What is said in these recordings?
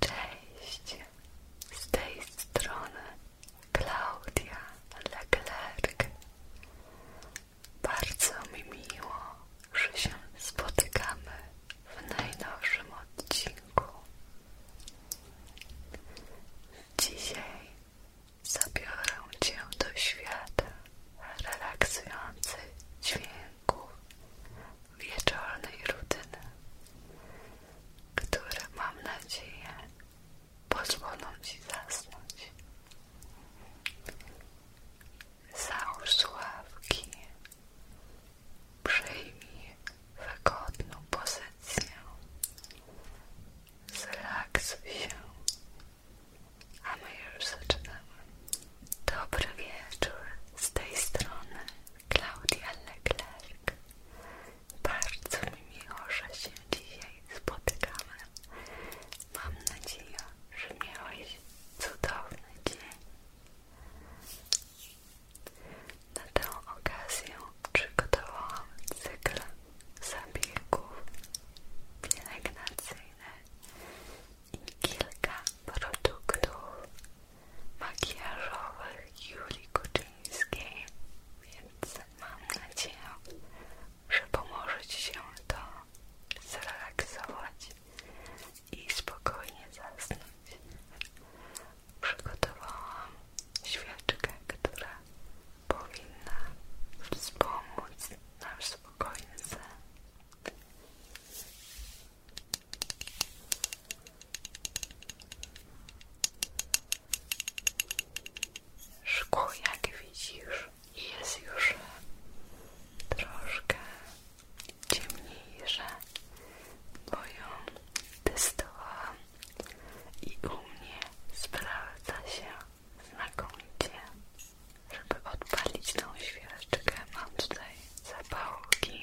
Cześć! Z tej strony Claudia Leclerc. Bardzo mi miło, że się spotykamy w najnowszym odcinku. Dzisiaj zabiorę Cię do świata relaksujących dźwięków lęków, wieczornej rutyny, które mam nadzieję pozwolą Ci zasnąć. Załóż sławki, przyjmij wygodną pozycję, zrelaksuj się, a my już zaczynamy. Dobry wieczór, z tej strony Klaudia Leclerc. Bardzo mi miło, że się dzisiaj spotykamy. Mam nadzieję, że miałeś cudowny dzień. Na tę okazję przygotowałam cykl zabiegów pielęgnacyjnych i kilka produktów makijażowych Julii Kuczyńskiej, więc mam nadzieję, że pomoże Ci się to zrelaksować i spokojnie zasnąć. Przygotowałam świeczkę, która powinna wspomóc nasz spokojny sen. Szkło, jak widzisz, jest już troszkę ciemniejsze, bo ją testowałam i u mnie sprawdza się znakomicie. Żeby odpalić tą świeczkę, mam tutaj zapałki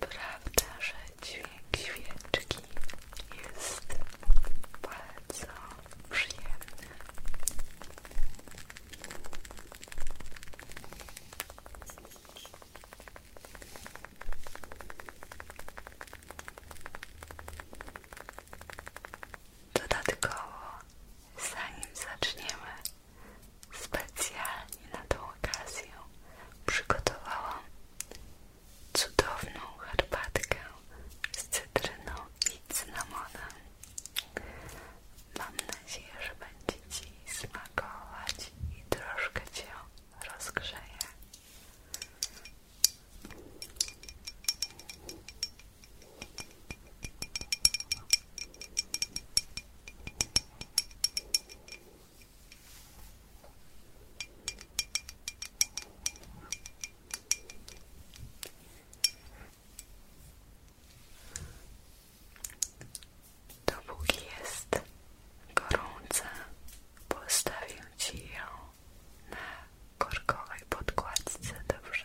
Prawda, że dźwięk świeczki jest bardzo przyjemny. zanim zaczniemy, specjalnie na tą okazję przygotowałam cudowną herbatkę z cytryną i cynamonem. Mam nadzieję, że będzie Ci smakować i troszkę Cię rozgrzeje. To Dopóki jest gorąca, postawię Ci ją na korkowej podkładce, dobrze?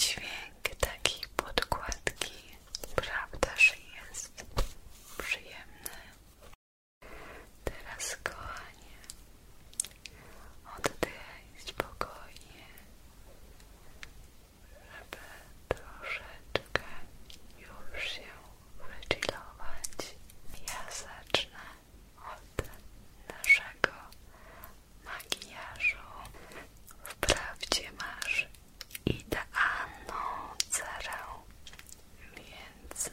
Dźwięk takiej podkładki, prawda, że jest przyjemny. Teraz, kochanie, oddychaj spokojnie, żeby troszeczkę już się wychillować. Ja od naszego makijażu. Wprawdzie masz idealną cerę, więc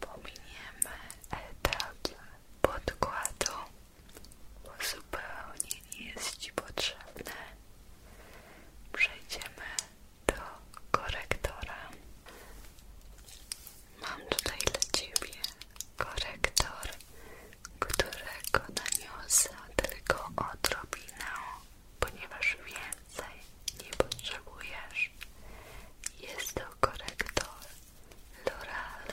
pominiemy etap podkładu, bo zupełnie nie jest Ci potrzebny. Przejdziemy do korektora. Mam tutaj dla Ciebie korektor, którego naniosę tylko odrobinę, ponieważ więcej nie potrzebujesz. Jest to korektor L'Oreal.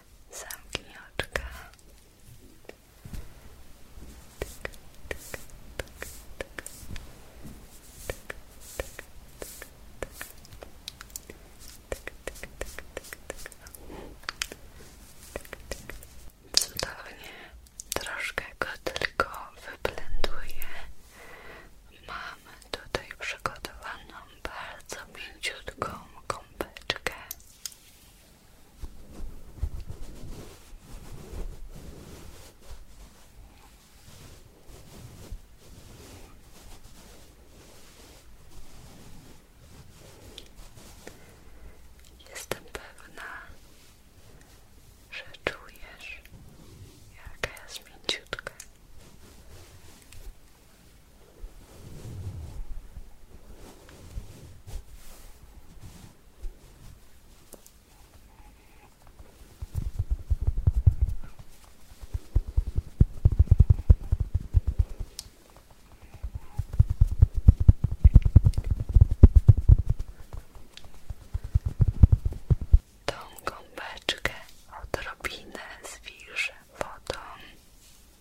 Zamknij oczka. Cudownie. Troszkę go tylko wyblenduję. Mamy tutaj przygotowaną bardzo mięciutką kąpeczkę. Jestem pewna, że czujesz, jaka jest mięciutka Tą gąbeczkę odrobinę zwilżę wodą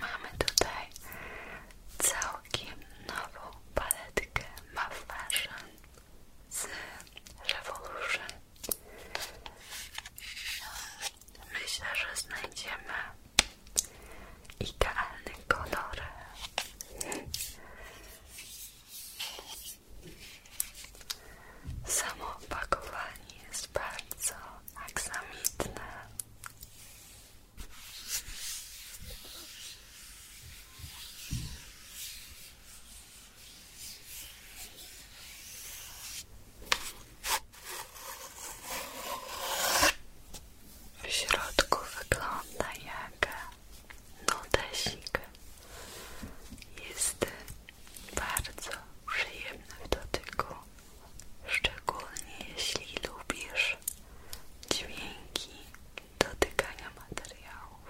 Mamy tutaj całkiem nową paletkę Muff z Revolution. Myślę, że znajdziemy idealny kolor. Samo opakowanie jest bardzo aksamitne. W środku wygląda jak notesik jest bardzo przyjemny w dotyku, szczególnie jeśli lubisz dźwięki dotykania materiałów.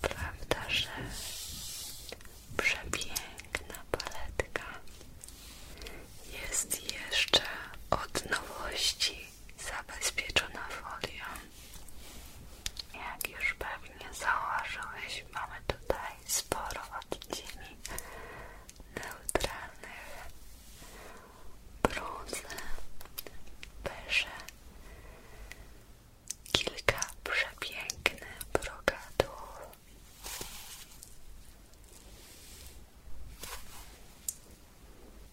Prawda, że przepiękna paletka jest jeszcze od nowości zabezpieczona folią. Jak już pewnie zauważyłeś, mamy tutaj sporo odcieni neutralnych, brązy, beże, kilka przepięknych brokatów.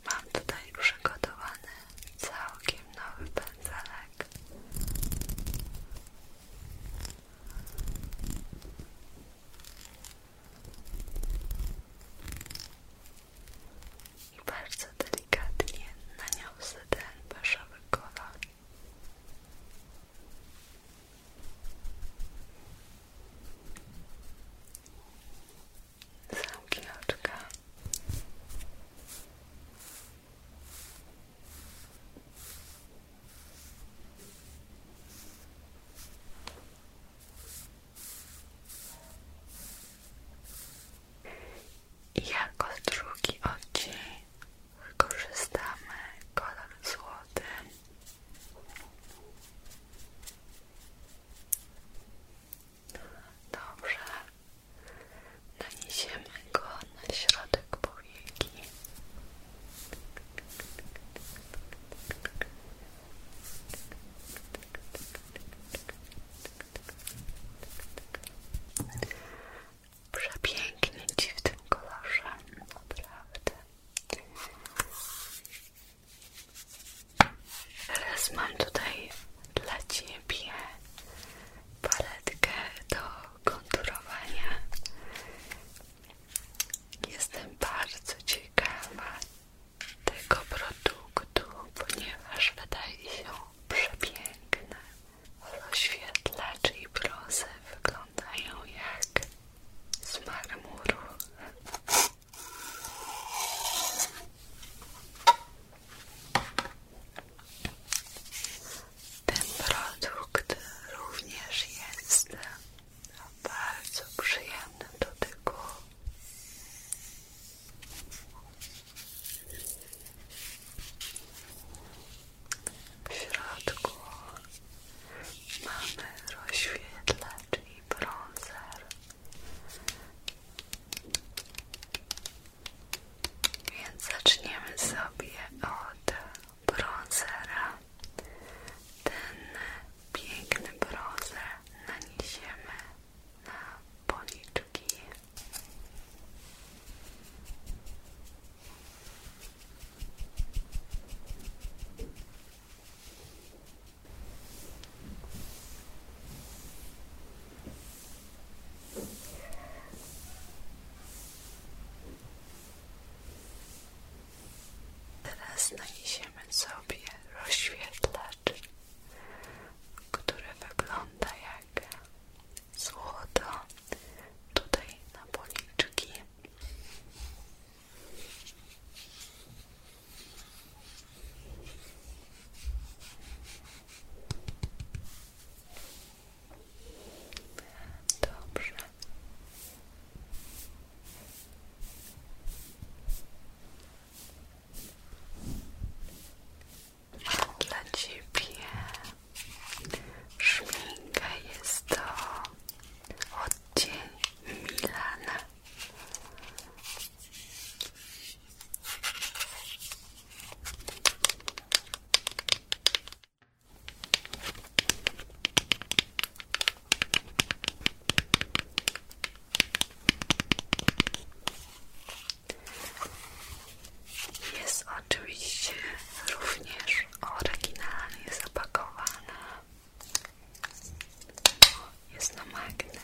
Mam tutaj przygotowany całkiem nowy pędzelek i bardzo delikatnie naniosę ten paszowy kolor. Zamknij oczka. Jako drugi odcinek korzystamy kolor złoty. Dobrze. Naniesiemy go na środek powieki. Przepięknie Ci w tym kolorze, naprawdę. Teraz mam tutaj dla Ciebie paletkę do konturowania. Jestem bardzo ciekawa tego produktu, ponieważ wydaje się przepiękne. Oświetlacz i brosy wyglądają jak z ten produkt również jest bardzo przyjemny do dotyku. W środku mamy rozświetlacz i bronzer. Więc zaczniemy sobie od bronzera. Ten piękny bronzer naniesiemy na policzki. Teraz naniesiemy sobie rozświetlacz, który wygląda jak złoto tutaj na policzki. Dobrze. dla Ciebie szminkę, jest to odcień jest oczywiście również oryginalnie zapakowana. Jest na magnes.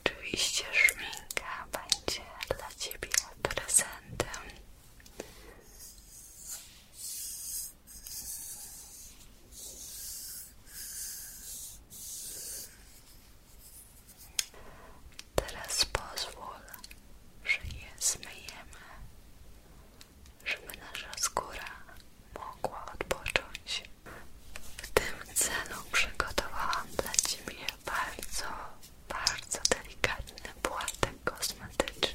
Oczywiście szminka będzie dla Ciebie prezentem. Teraz pozwól, że je zmyjemy, żeby nasza skóra mogła odpocząć. W tym celu przygotowałam dla Ciebie bardzo, bardzo delikatne, płatek kosmetyczny.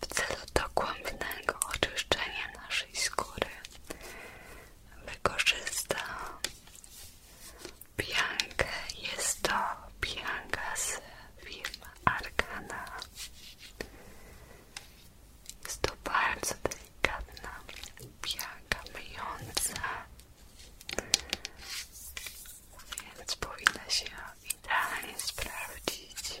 W celu dokładnego oczyszczenia naszej skóry wykorzysta piankę. Jest to pianka z firmy Arcana. Jest to bardzo delikatna pianka myjąca, więc powinna się idealnie sprawdzić.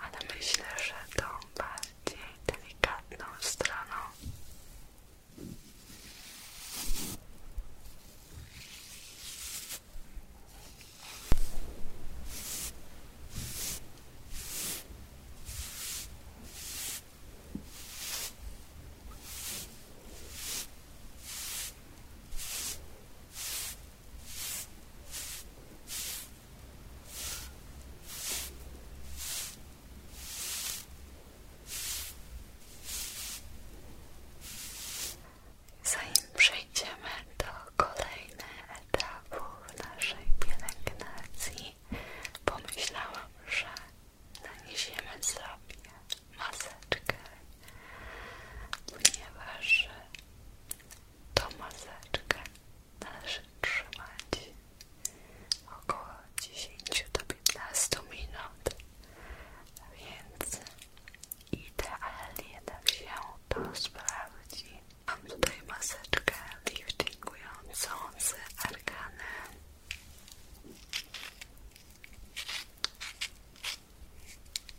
Ale myślę, że tą bardziej delikatną stroną. Zanim przejdziemy do kolejnych etapów naszej pielęgnacji, pomyślałam, że naniesiemy sobie maseczkę, ponieważ tą maseczkę należy trzymać około 10 do 15 minut, więc idealnie tak się to sprawdzi. Mam tutaj maseczkę liftingującą z arkanem.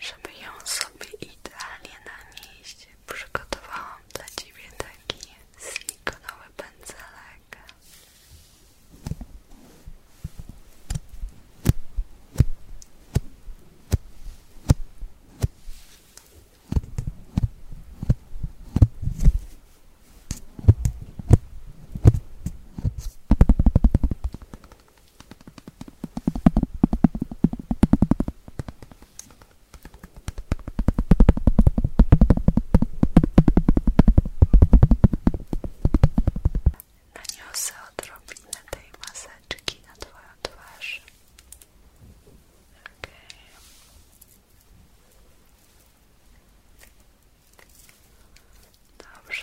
żeby ją sobie idealnie nanieść, przygotowałam dla Ciebie taki silikonowy pędzelek. Naniosę odrobinę tej maseczki na Twoją twarz. Okay. Dobrze.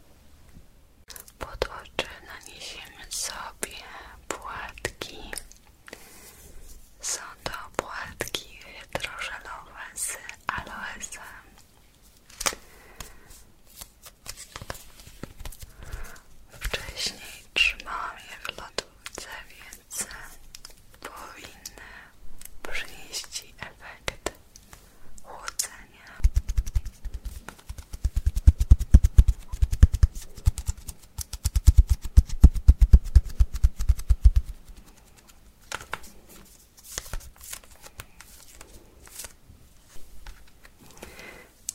Pod oczy sobie płatki. Są to płatki hydrożelowe z aloesem. Wcześniej trzymałam je w lodówce, więc powinny przynieść efekt chłodzenia.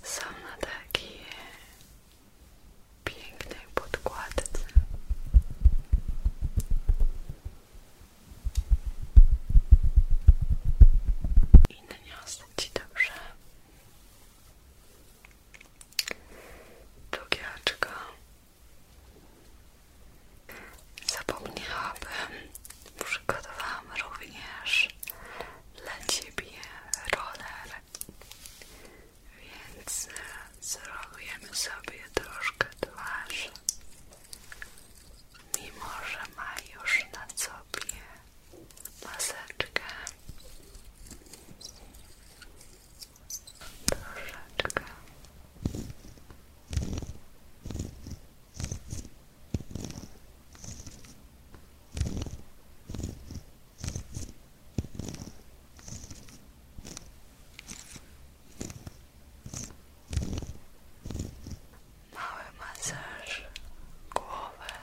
Są na takiej pięknej podkładce i naniosę Ci dobrze drugie oczko zapomniałabym przygotowałam również dla Ciebie roller więc zrobimy sobie troszkę twarz mimo że ma już na sobie maseczkę troszeczkę Mały masaż głowy.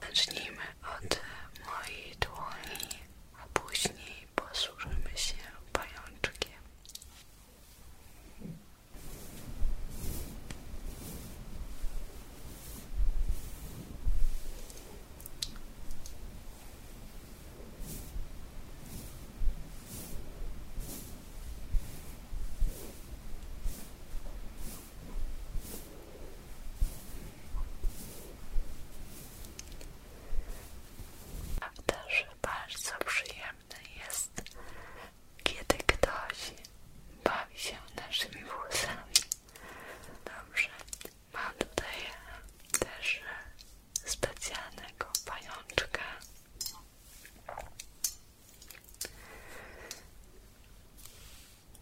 Zacznijmy od mojej dłoni, a później posłużymy się pajączkiem. Też bardzo przyjemny jest, kiedy ktoś bawi się naszymi włosami. Dobrze, mam tutaj też specjalnego pajączka.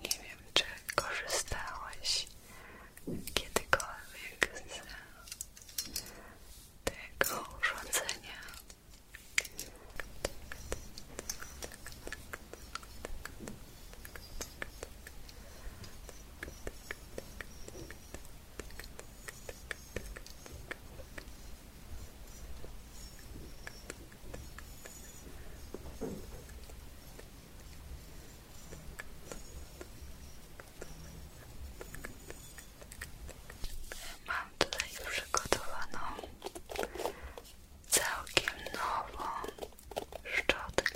Nie wiem, czy korzystałeś kiedykolwiek z tego urządzenia. Mam tutaj przygotowaną całkiem nową szczotkę.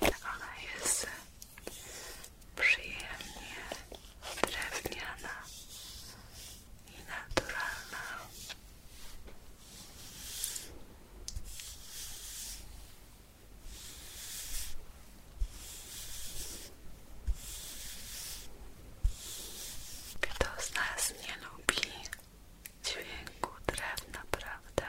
Tak, ona jest przyjemnie drewniana i naturalna. Kto z nas nie lubi dźwięku drewna, prawda?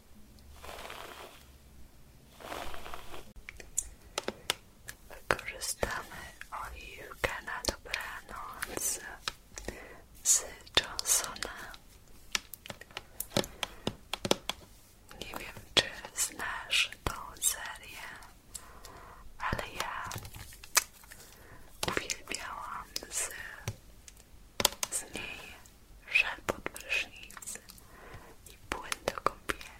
Wykorzystamy oliwkę na dobranoc z Johnsona. Nie wiem, czy znasz tą serię, ale ja uwielbiałam z z niej żel i płyn do kąpieli.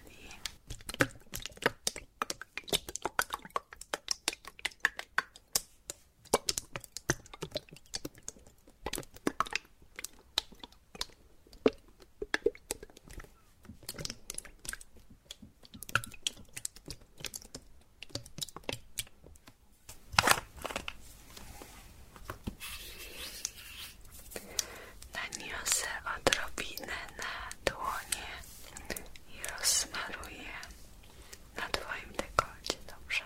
Naniosę odrobinę na dłonie i rozsmaruję na Twoim dekolcie, dobrze?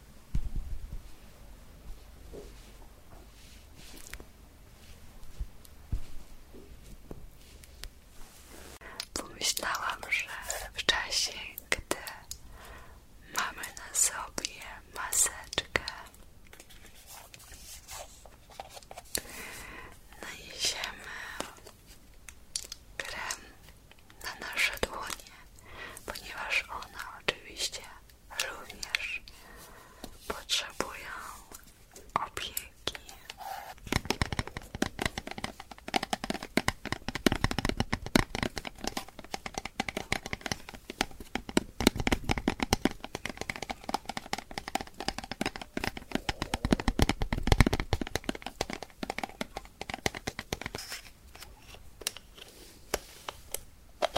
Pomyślałam, że w czasie, gdy mamy na sobie maseczkę, najedziemy krem na nasze dłonie, ponieważ one oczywiście również potrzebują opieki.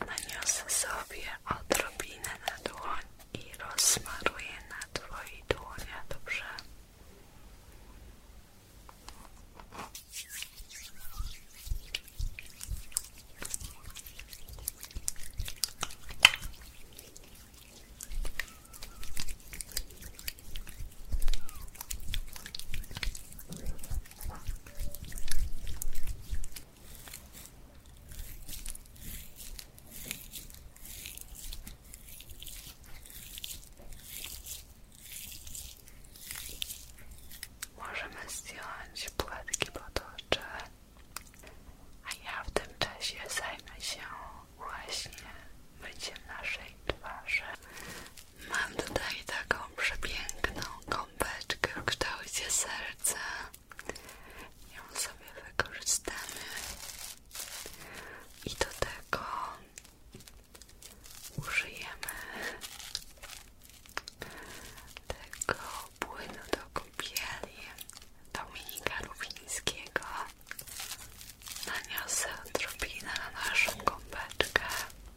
Naniosę sobie odrobinę na dłoń i rozmaruję na Twojej dłonia, dobrze? Możemy zdjąć płatki potocze, a ja w tym czasie zajmę się właśnie myciem naszej twarzy Mam tutaj taką przepiękną kąpeczkę w kształcie serca. Ją sobie wykorzystamy. I do tego użyjemy tego płynu do kąpieli Dominika Rubińskiego. Naniosę odrobinę na naszą kąpeczkę.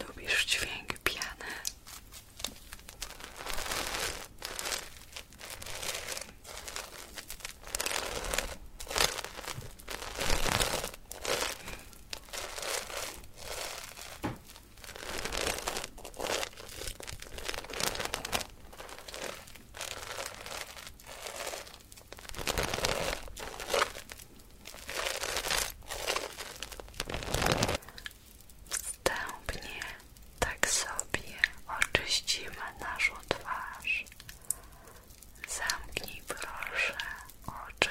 Lubisz dźwięk piany? Wstępnie tak sobie oczyścimy naszą twarz. Zamknij proszę oczy.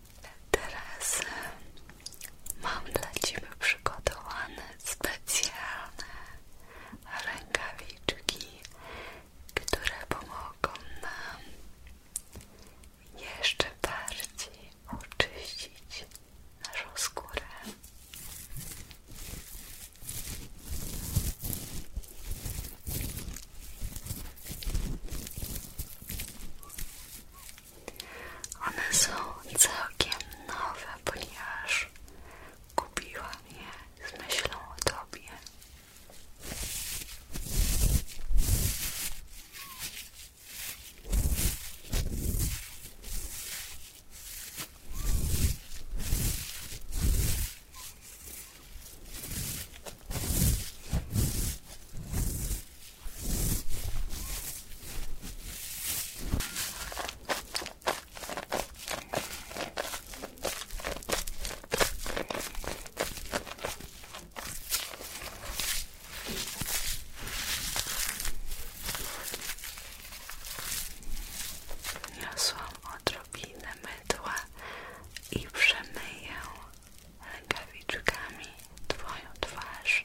Teraz mam dla Ciebie przygotowane specjalne rękawiczki, które pomogą nam jeszcze bardziej oczyścić naszą skórę. One są całkiem nowe, ponieważ kupiłam je z myślą o Tobie. Niosłam odrobinę mydła i przemyję rękawiczkami Twoją twarz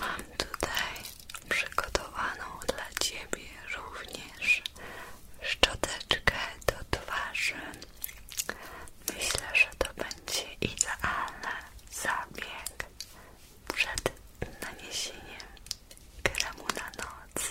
Mam tutaj przygotowaną dla Ciebie również szczoteczkę do twarzy. Myślę, że to będzie idealny zabieg przed naniesieniem kremu na noc.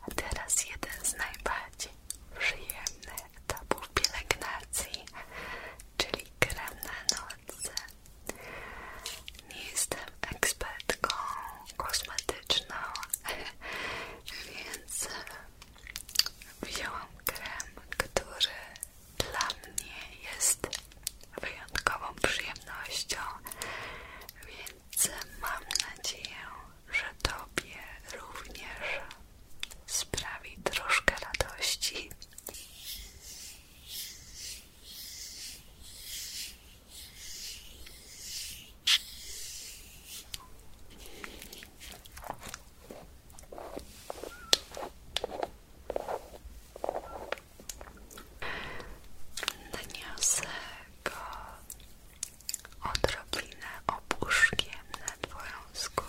A teraz jeden z najbardziej przyjemnych etapów pielęgnacji, czyli krem na noce. Nie jestem ekspertką kosmetyczną, więc wzięłam krem, który dla mnie jest wyjątkową przyjemnością, więc mam nadzieję, że Tobie również sprawi troszkę radości. Niosę go odrobinę opuszkiem na Twoją skórę.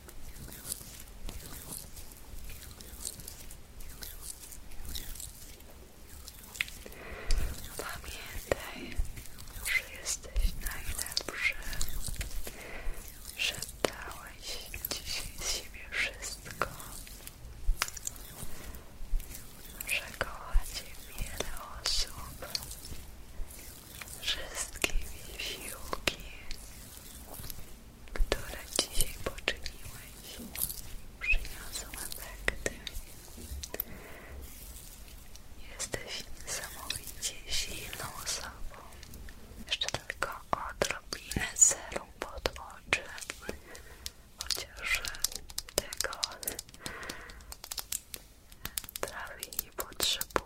Pamiętaj, że jesteś najlepszy, że dałeś dzisiaj z siebie wszystko, że kocha wiele osób, wszystkie wysiłki które dzisiaj poczyniłeś, przyniosą efekty. Tak, jesteś niesamowicie silną osobą. Jeszcze tylko odrobinę celu pod oczy. Chociaż tego prawie nie potrzebujesz.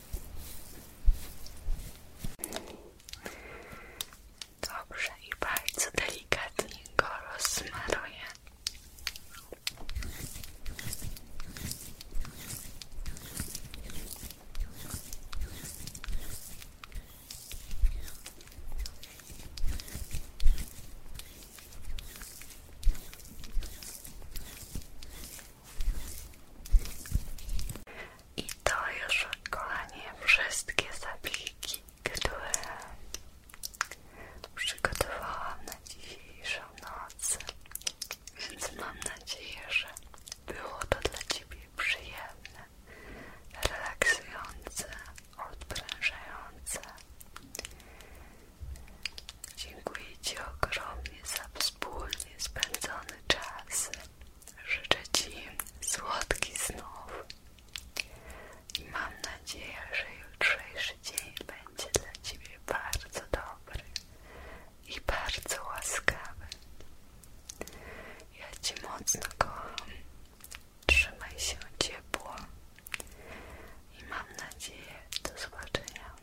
Dobrze i bardzo delikatnie go rozsmaruję. I to już, kochani, wszystkie zabiegi, które przygotowałam na dzisiejszą noc. Więc mam nadzieję, że było to dla Ciebie przyjemne, relaksujące, odprężające. Dziękuję Ci ogromnie za wspólnie spędzony czas. Życzę Ci słodkich znów i mam nadzieję, że jutrzejszy dzień będzie dla Ciebie bardzo dobry i bardzo łaskawy. Ja ci mocno kocham. Trzymaj się ciepło i mam nadzieję do zobaczenia.